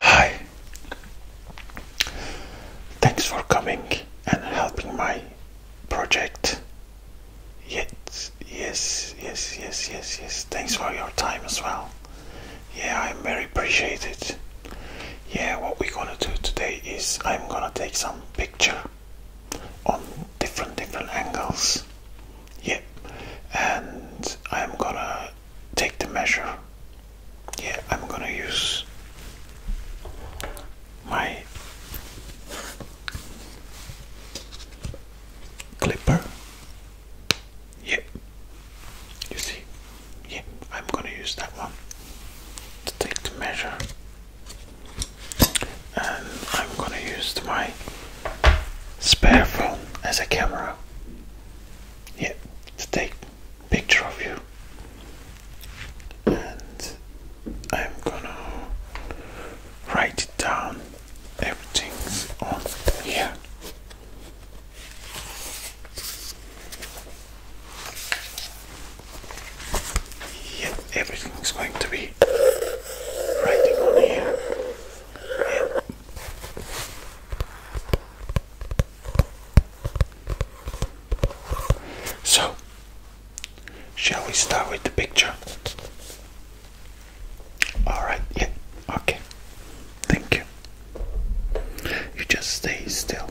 Hi. Thanks for coming and helping my project. Yes, yes, yes, yes, yes, yes. Thanks for your time as well. Yeah, I'm very appreciated. Yeah, what we're gonna do today is I'm gonna take some picture on different different angles yeah and I'm gonna take the measure yeah I'm gonna use my clipper yeah you see yeah I'm gonna use that one to take the measure and I'm gonna use my spare phone as a camera. Yeah, to take picture of you. And I'm gonna write it down. Everything's on here. Yeah, everything's going to be be writing So, shall we start with the picture? Alright, yeah, okay. Thank you. You just stay still.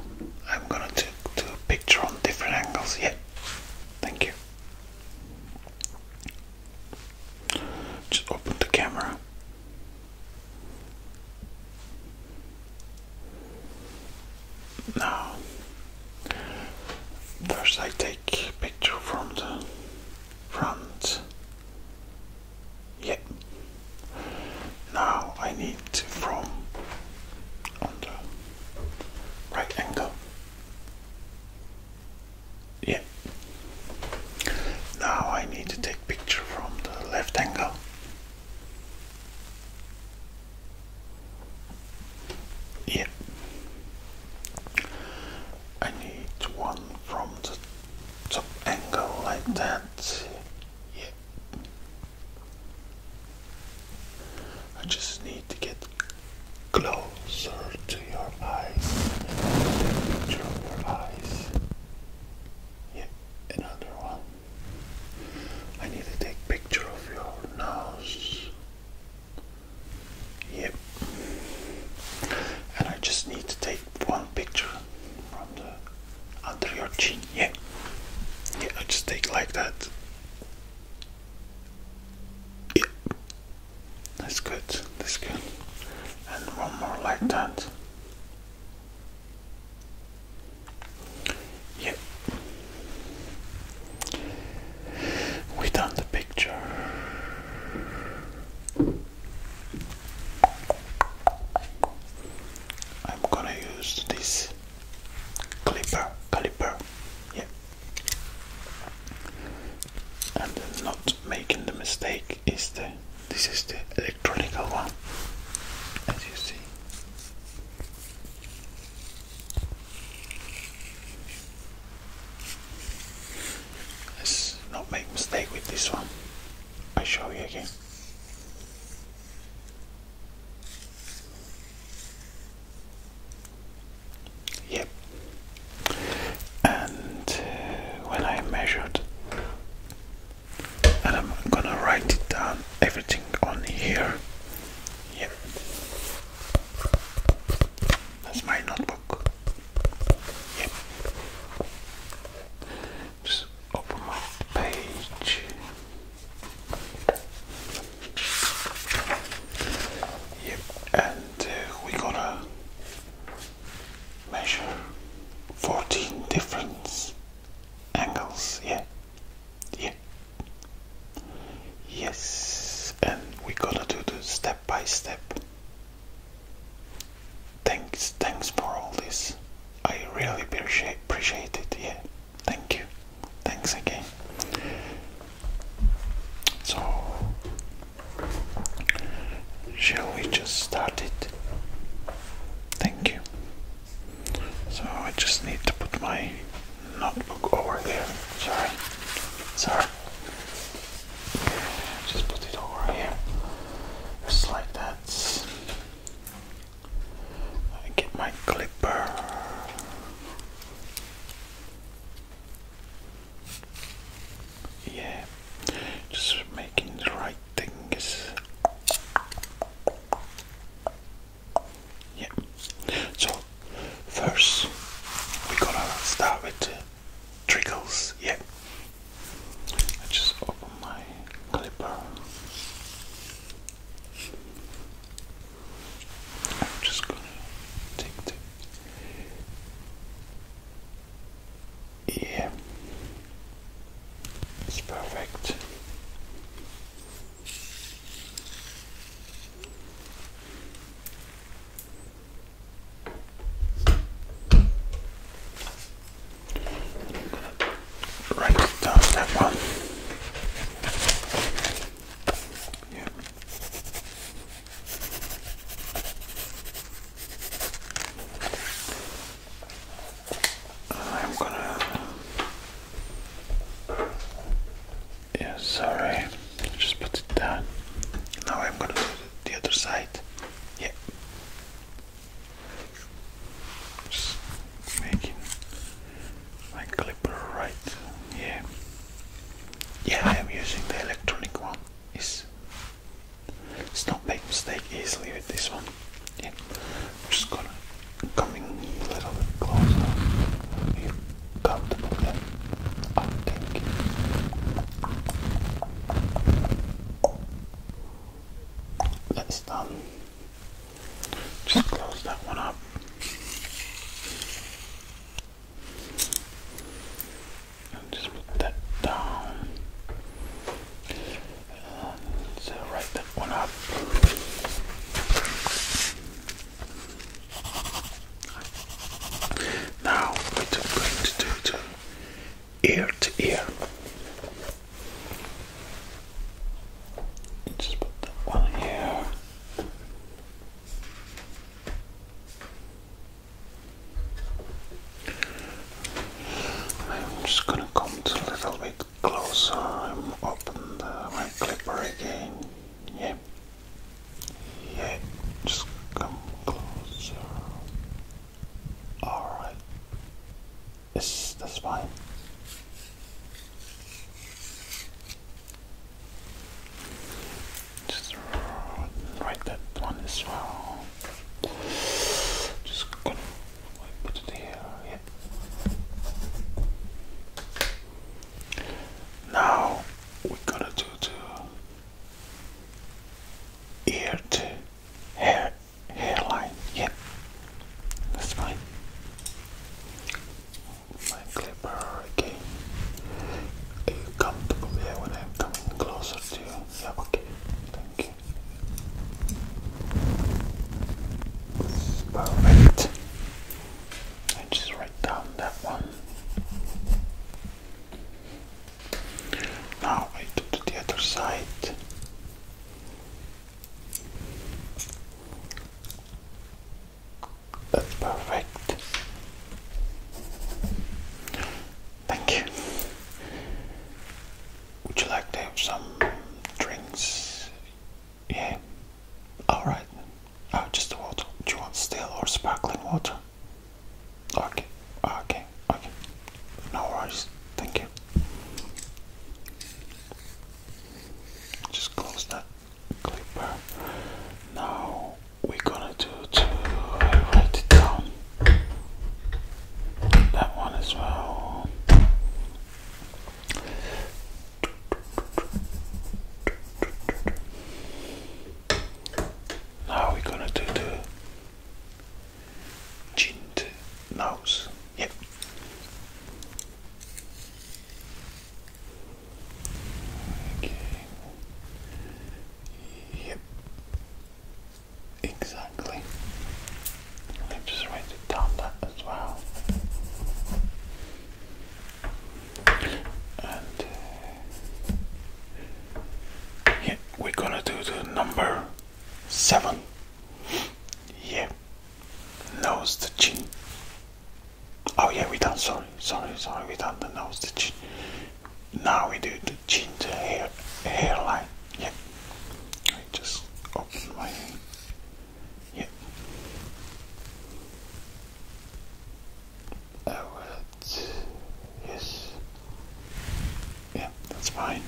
I'm gonna do, do a picture on different angles, yeah. Thank you. Just open the camera. Now, first I take picture from the front. Yep. Now I need from the right angle yeah now I need to take picture from the left angle yeah I need one from the top angle like that yeah I just need to get closer to your eyes. Take your eyes. Yeah, another one. I need to take picture of your nose. Yep. And I just need to take one picture from the under your chin. Yeah. Yeah, I just take like that. Yeah. That's good. That's good. And one more like that. Yep. We done the picture. I'm gonna use this clipper, caliper. Yep and not making the mistake is the this is the electronic one as you see let's not make mistake with this one I show you again Yep. And uh, when I measured, and I'm gonna write it down everything on here. Yep. That's my notebook. Yep. Just open my page. Yep, and uh, we gotta measure 14 different angles yeah yeah yes and we going to do this step by step thanks thanks for all this i really appreciate appreciate it yeah thank you thanks again so Shall we just start it? Thank you. So I just need to put my notebook over there. Sorry. Sorry. Just put it over here. Just like that. I get my clipper. Yeah, just making the right things. Yeah. So first we're gonna start with the trickles. Yeah. I just open my clipper. I'm just gonna take the yeah, it's perfect. write down that one. Yeah. I'm gonna. Yeah, sorry. Just put it down. Now I'm gonna do the other side. Yeah. Just making my clipper right. Yeah. Yeah, I am using the electronic one. It's, it's not make mistake easily with this one. Yeah, I'm just gonna coming a little bit closer. Are you comfortable there? I think. That's done. Just close that one up just put that down so write that one up now what are am going to do to ear to ear just put that one here I'm just going to come a little bit closer. I'm open the, uh, my clipper again. Yep, Yeah. Just come closer. Alright. Yes, that's fine. Just write that one as well. Just put it here. Yep. Now we're to do the ear to hair hairline. Yep, that's fine my clipper again. Are you comfortable there when I'm coming closer to you? Yeah, okay. Thank you. Perfect. I just write down that one. Now I do to the other side. That's perfect. Thank you. Would you like some drinks? Yeah. Alright. Oh, just water. Do you want still or sparkling water? Okay. Okay. Okay. No worries. Thank you. Just close that now we're gonna do to uh, write it down. That one as well. Now we're gonna do the ginned nose. Yep. Okay. Yep. Exactly. Let just write it down that as well. And uh, yeah, we're gonna do the number seven. Yeah, nose to chin. Oh yeah, we done. Sorry, sorry, sorry. We done the nose. The chin. Now we do the chin, the hair, hairline. Yeah. I just open my. Yeah. Uh, yes. Yeah, that's fine.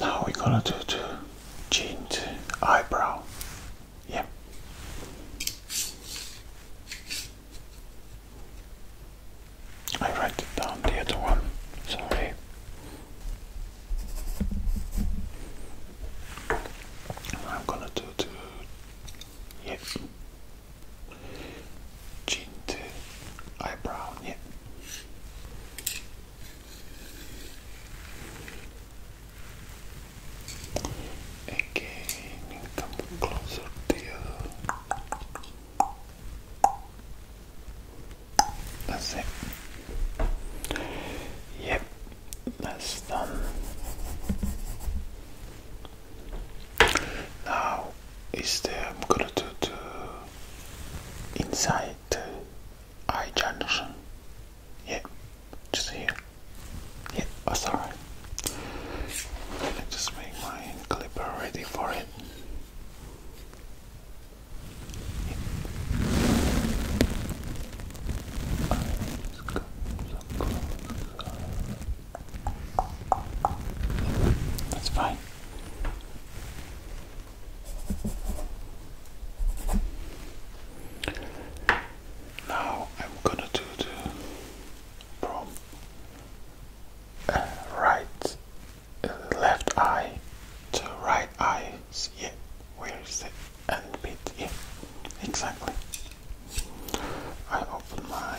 Now we're gonna do the chin to eyebrow. Yep. I write it down the other one. Sorry. I'm gonna do the yes chin eyebrow, yeah. Again, come closer to you. That's it. Yep, that's done. Now is the I'm gonna do inside the eye junction. Yeah, just here. Yeah, oh sorry. Let just make my clipper ready for him. That's fine. Now I'm gonna do the from uh, right uh, left eye to right eye. Yeah, where is the end bit? Yeah, exactly. I open my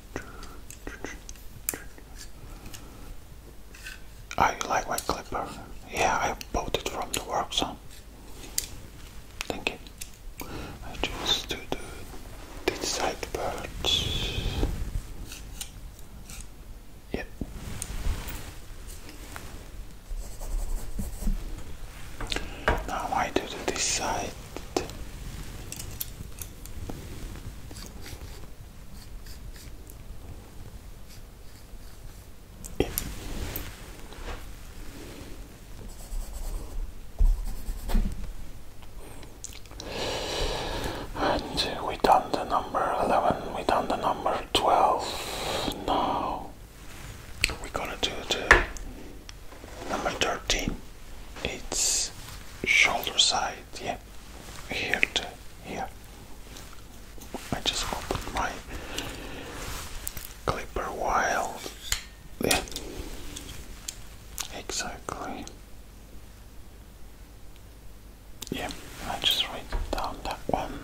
I ah, like my clipper? Yeah, I bought it from the workshop. Thank you. I just do the, side birds. Yep. Now I do the this side. And we done the number 11, we done the number 12. Now we gonna do the Number 13, it's shoulder side, yeah, here to here. I just opened my clipper while, yeah, exactly. Yeah, I just write down that one.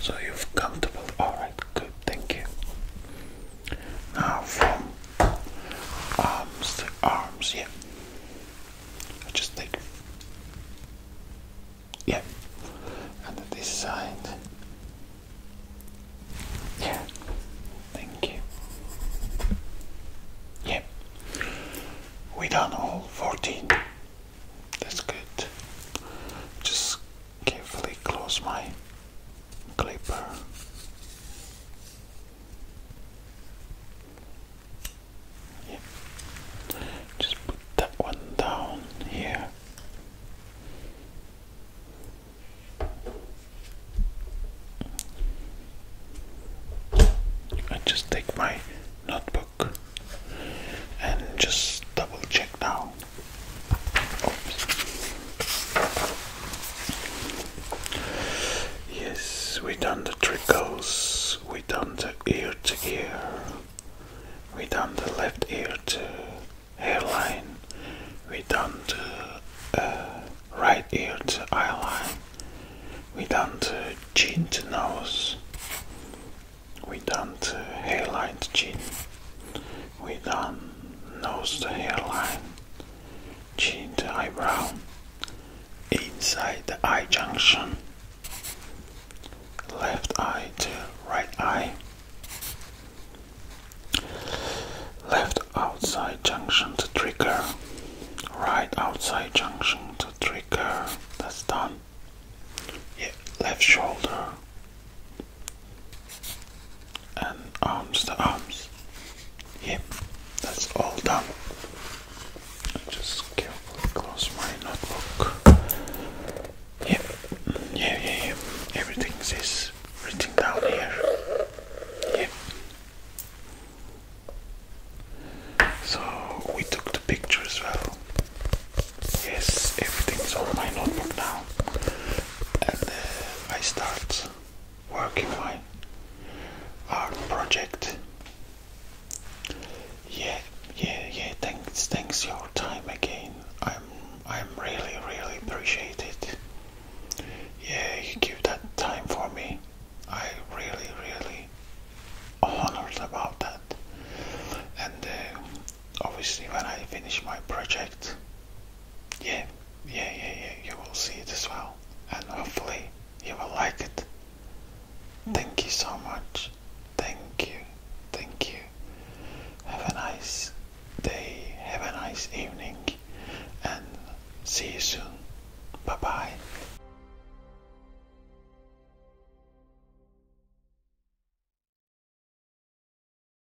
So you've comfortable. All right, good. Thank you. Now from arms to arms, yeah. I just take, yeah, and this side, yeah. Thank you. Yeah, we done all fourteen. That's good. Just carefully close my clipper. Yeah. Just put that one down here. I just take my notebook and just double check now Yes, we done the trickles, we done the ear to ear, we done the left ear to hairline, we done the uh, right ear to eyeline, we done the chin to nose, we done the hairline to chin we done nose the hairline, chin the eyebrow, inside the eye junction, left eye to right eye, left outside junction to trigger, right outside junction to trigger, that's done. Yeah, left shoulder, and arms to arms. Yep, that's all done. Just carefully close my notebook. Yep, yeah, yeah, yeah. Everything's is written down here. Yep. So we took the picture as well. Yes, everything's on my notebook now and I start working my art project. Yeah, yeah, yeah. Thanks, thanks your time again. I'm, I'm really, really appreciate it. Yeah, you give that time for me. I really, really honored about that. And uh, obviously, when I finish my project, yeah, yeah, yeah, yeah, you will see it as well, and hopefully you will like it. Hmm. Thank you so much. Thank you. Thank you. Have a nice day. Have a nice evening. And see you soon. Bye bye.